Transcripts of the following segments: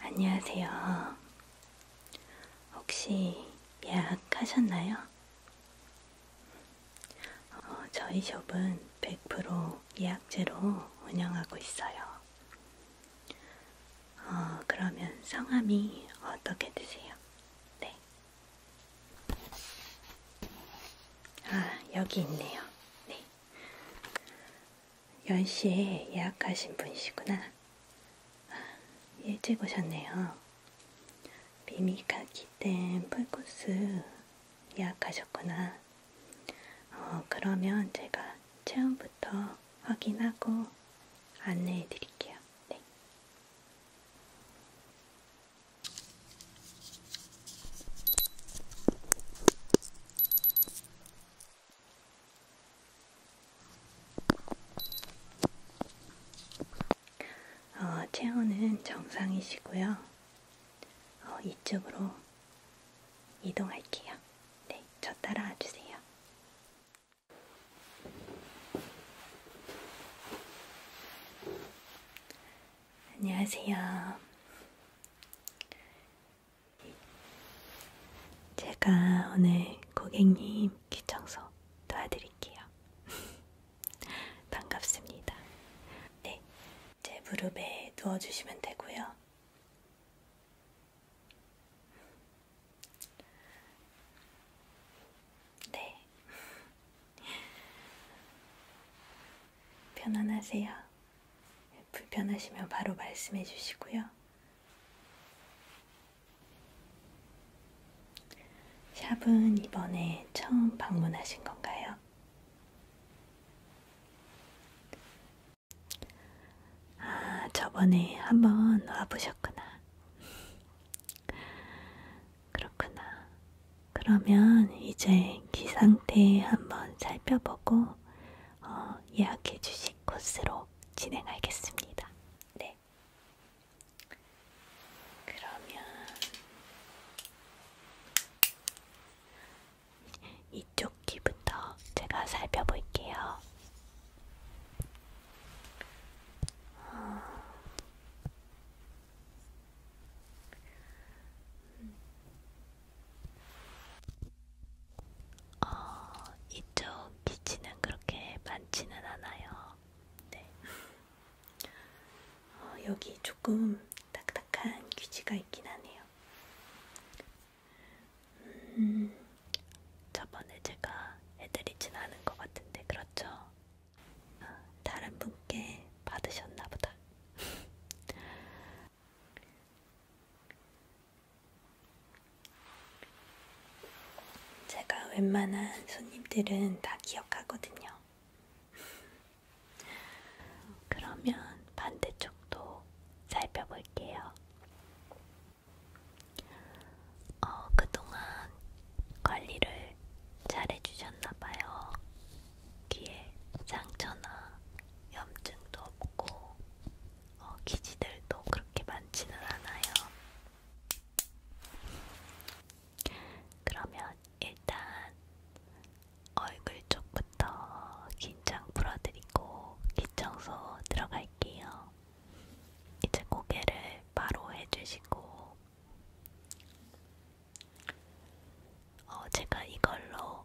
안녕하세요. 혹시 예약하셨나요? 어, 저희 숍은 100% 예약제로 운영하고 있어요. 어, 그러면 성함이 어떻게 되세요? 네. 아, 여기 있네요. 네. 10시에 예약하신 분이시구나. 일찍 오셨네요. 미미카키 댐 풀코스 예약하셨구나. 어, 그러면 제가 체험부터 확인하고 안내해 드릴게요. 네. 어, 체온은 정상이시고요. 어, 이쪽으로 이동할게요. 네, 저 따라와 주세요. 안녕하세요. 제가 오늘 고객님 귀청소 도와드릴게요. 반갑습니다. 네, 제 무릎에 누워주시면 되고요. 네, 편안하세요. 불편하시면 바로 말씀해 주시고요. 샵은 이번에 처음 방문하신 건가요? 아, 저번에 한번 와보셨구나. 그렇구나. 그러면 이제 기 상태 한번 살펴보고 어, 예약해 주시 클래식 코스로 진행하겠습니다. 네. 그러면 이쪽 귀부터 제가 살펴볼게요. 어... 어, 이쪽 기치는 그렇게 많지는 않아요. 네. 어, 여기 조금 딱딱한 귀지가 있긴 하네요. 음, 저번에 제가 해드리진 않은 것 같은데, 그렇죠? 어, 다른 분께 받으셨나 보다. 제가 웬만한 손님들은 다 기억하거든요. 그러면 반대쪽도 살펴볼게요. 어, 그동안 관리를 잘 해주셨나봐요. 귀에 상처나 염증도 없고 어, 기지들도 그렇게 많지는 않아요. 그러면 일단 얼굴 쪽부터 긴장 풀어드리고 기청소 들어갈게요. 이제 고개를 바로 해주시고 어, 제가 이걸로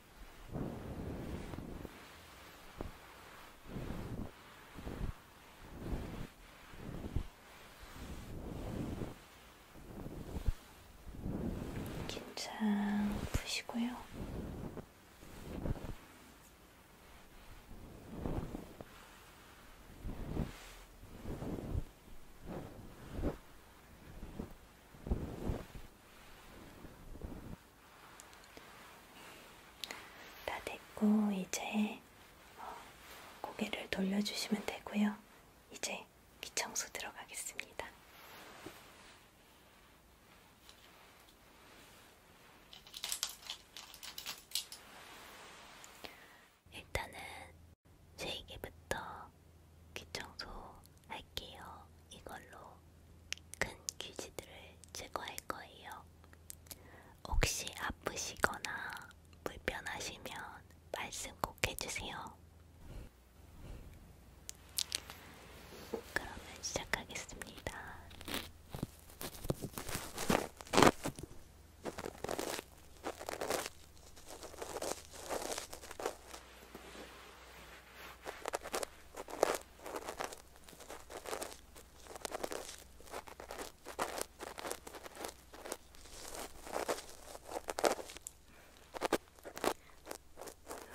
긴장 푸시고요. 다 됐고 이제 어, 고개를 돌려주시면 되고요. 이제 귀청소 들어가겠습니다. 일단은 쉐이기부터 귀청소 할게요. 이걸로 큰 귀지들을 제거할 거예요. 혹시 아프시거나 불편하시면 말씀 꼭 해주세요. 그러면 시작하겠습니다.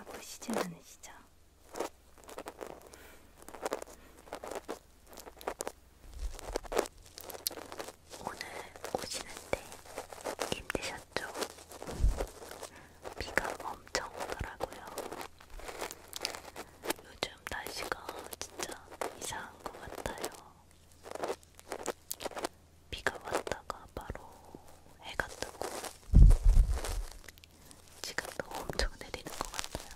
아프시지 않으시죠? 오늘 오시는데 힘드셨죠? 비가 엄청 오더라고요. 요즘 날씨가 진짜 이상한 것 같아요. 비가 왔다가 바로 해가 뜨고 지금도 엄청 내리는 것 같아요.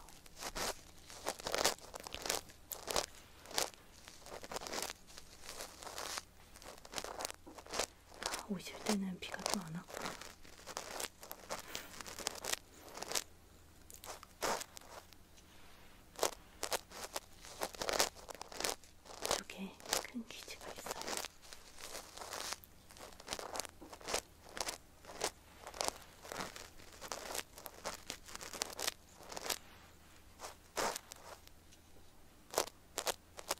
오실 때는 비가 또안 왔구나. 여기에 큰 귀지가 있어요.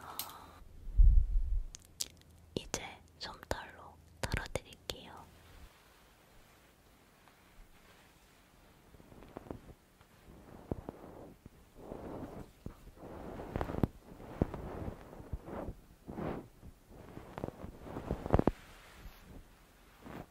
어, 이제 솜털로 털어드릴게요. 어,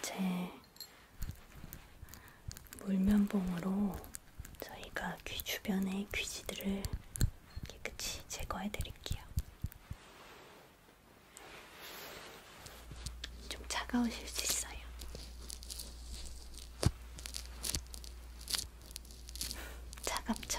이제 물면봉으로 저희가 귀 주변의 귀지들을 깨끗이 제거해 드릴게요. 좀 차가우실 수 있어요. 차갑죠?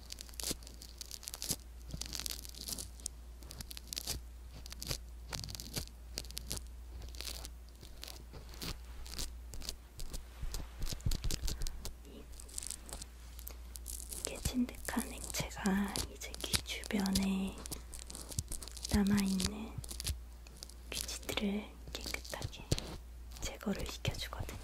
깨진 듯한 행체가 이제 귀 주변에 남아있는 귀지들을 깨끗하게 제거를 시켜주거든요.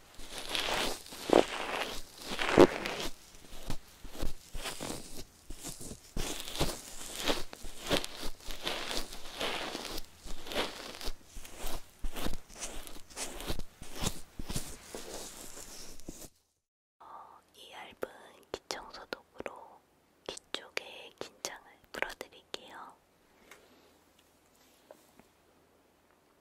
이 얇은 기청소독으로 귀 쪽에 긴장을 풀어드릴게요.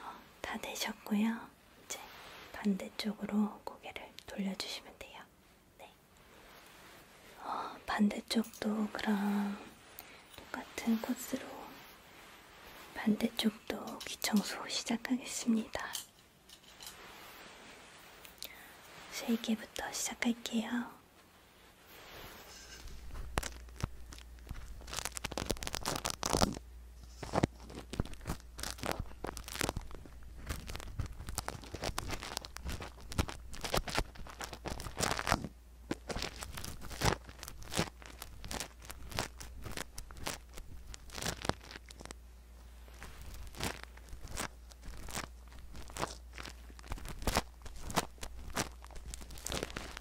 어, 다 되셨고요. 이제 반대쪽으로 고개를 돌려주시면 돼요. 네. 어, 반대쪽도 그럼 똑같은 코스로 반대쪽도 귀청소 시작하겠습니다. 세개부터 시작할게요.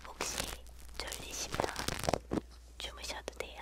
혹시 졸리시면 주무셔도 돼요.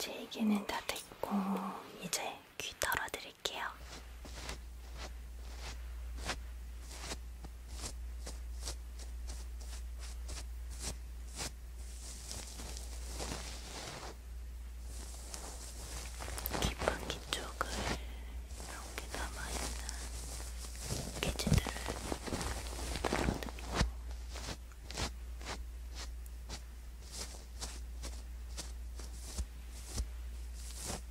제 얘기는 다 됐고 이제 귀 털어드릴게요. 깃방기 쪽을 이렇게 남아있는 기지들을 덜어드리고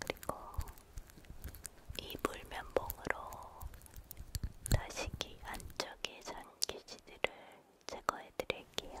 그리고 이불 면봉으로 다시기 안쪽에 잔기지들을 제거해 드릴게요.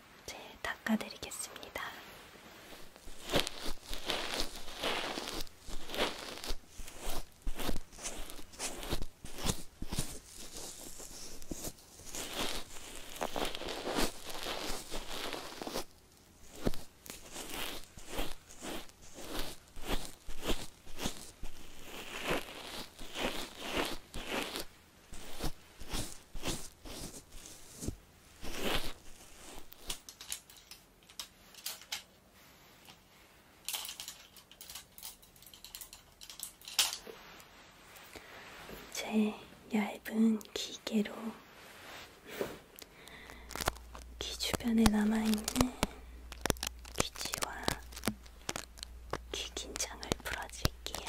이제 닦아드리겠습니다. 제 얇은 기계로 귀 주변에 남아있는 귀지와 귀 긴장을 풀어줄게요.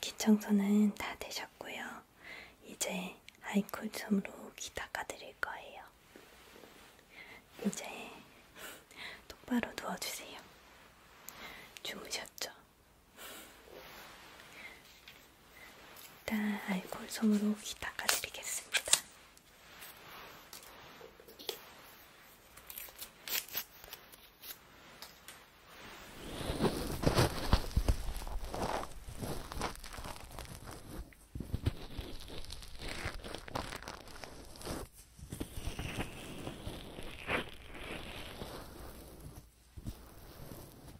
귀 청소는 다 되셨고요. 이제 아이콜 솜으로 귀 닦아드릴 거예요. 이제 똑바로 누워주세요. 주무셨죠? 일단 알코올 솜으로 귀 닦아드리겠습니다.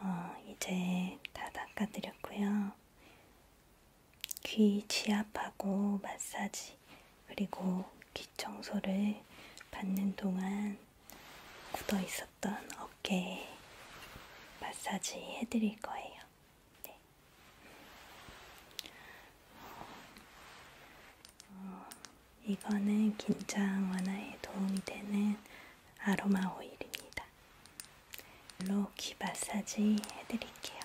어, 이제 다 닦아드렸고요. 귀 지압하고 마사지, 그리고 귀 청소를 받는 동안 굳어 있었던 주셨던 어깨 마사지 해드릴 거예요. 네. 어, 이거는 긴장 완화에 도움이 되는 아로마 오일입니다. 물로 귀 마사지 해드릴게요.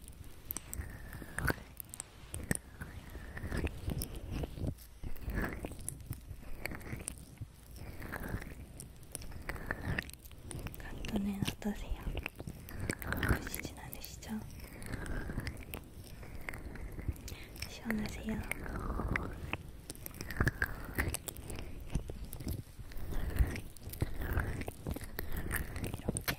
간단해 어떠세요? 아프시진 않으시죠? 시원하세요? 이렇게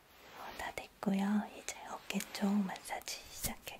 어, 다 됐고요. 이제 어깨 쪽 마사지 시작할게요.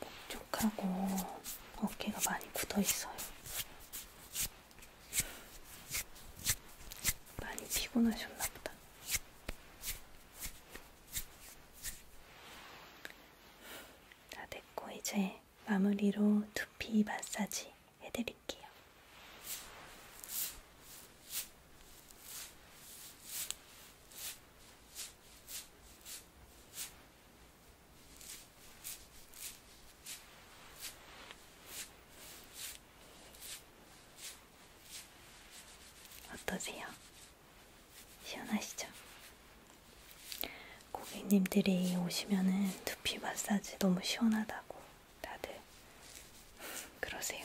목쪽하고 어깨가 많이 굳어 있어요. 많이 피곤하셨나 보다. 다 됐고 이제 마무리로 두피 마사지 해드릴게요. 어떠세요? 시원하시죠? 고객님들이 오시면은 두피 마사지 너무 시원하다고 다들 그러세요.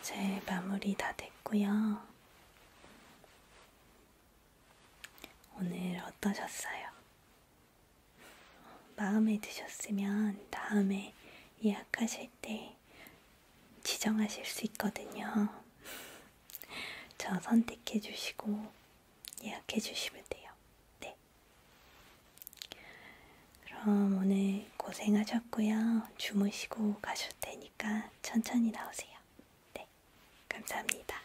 이제 마무리 다 됐고요. 오늘 어떠셨어요? 마음에 드셨으면 다음에 예약하실 때 지정하실 수 있거든요. 저 선택해 주시고 예약해 주시면 돼요. 네. 그럼 오늘 고생하셨고요. 주무시고 가실 테니까 천천히 나오세요. 네. 감사합니다.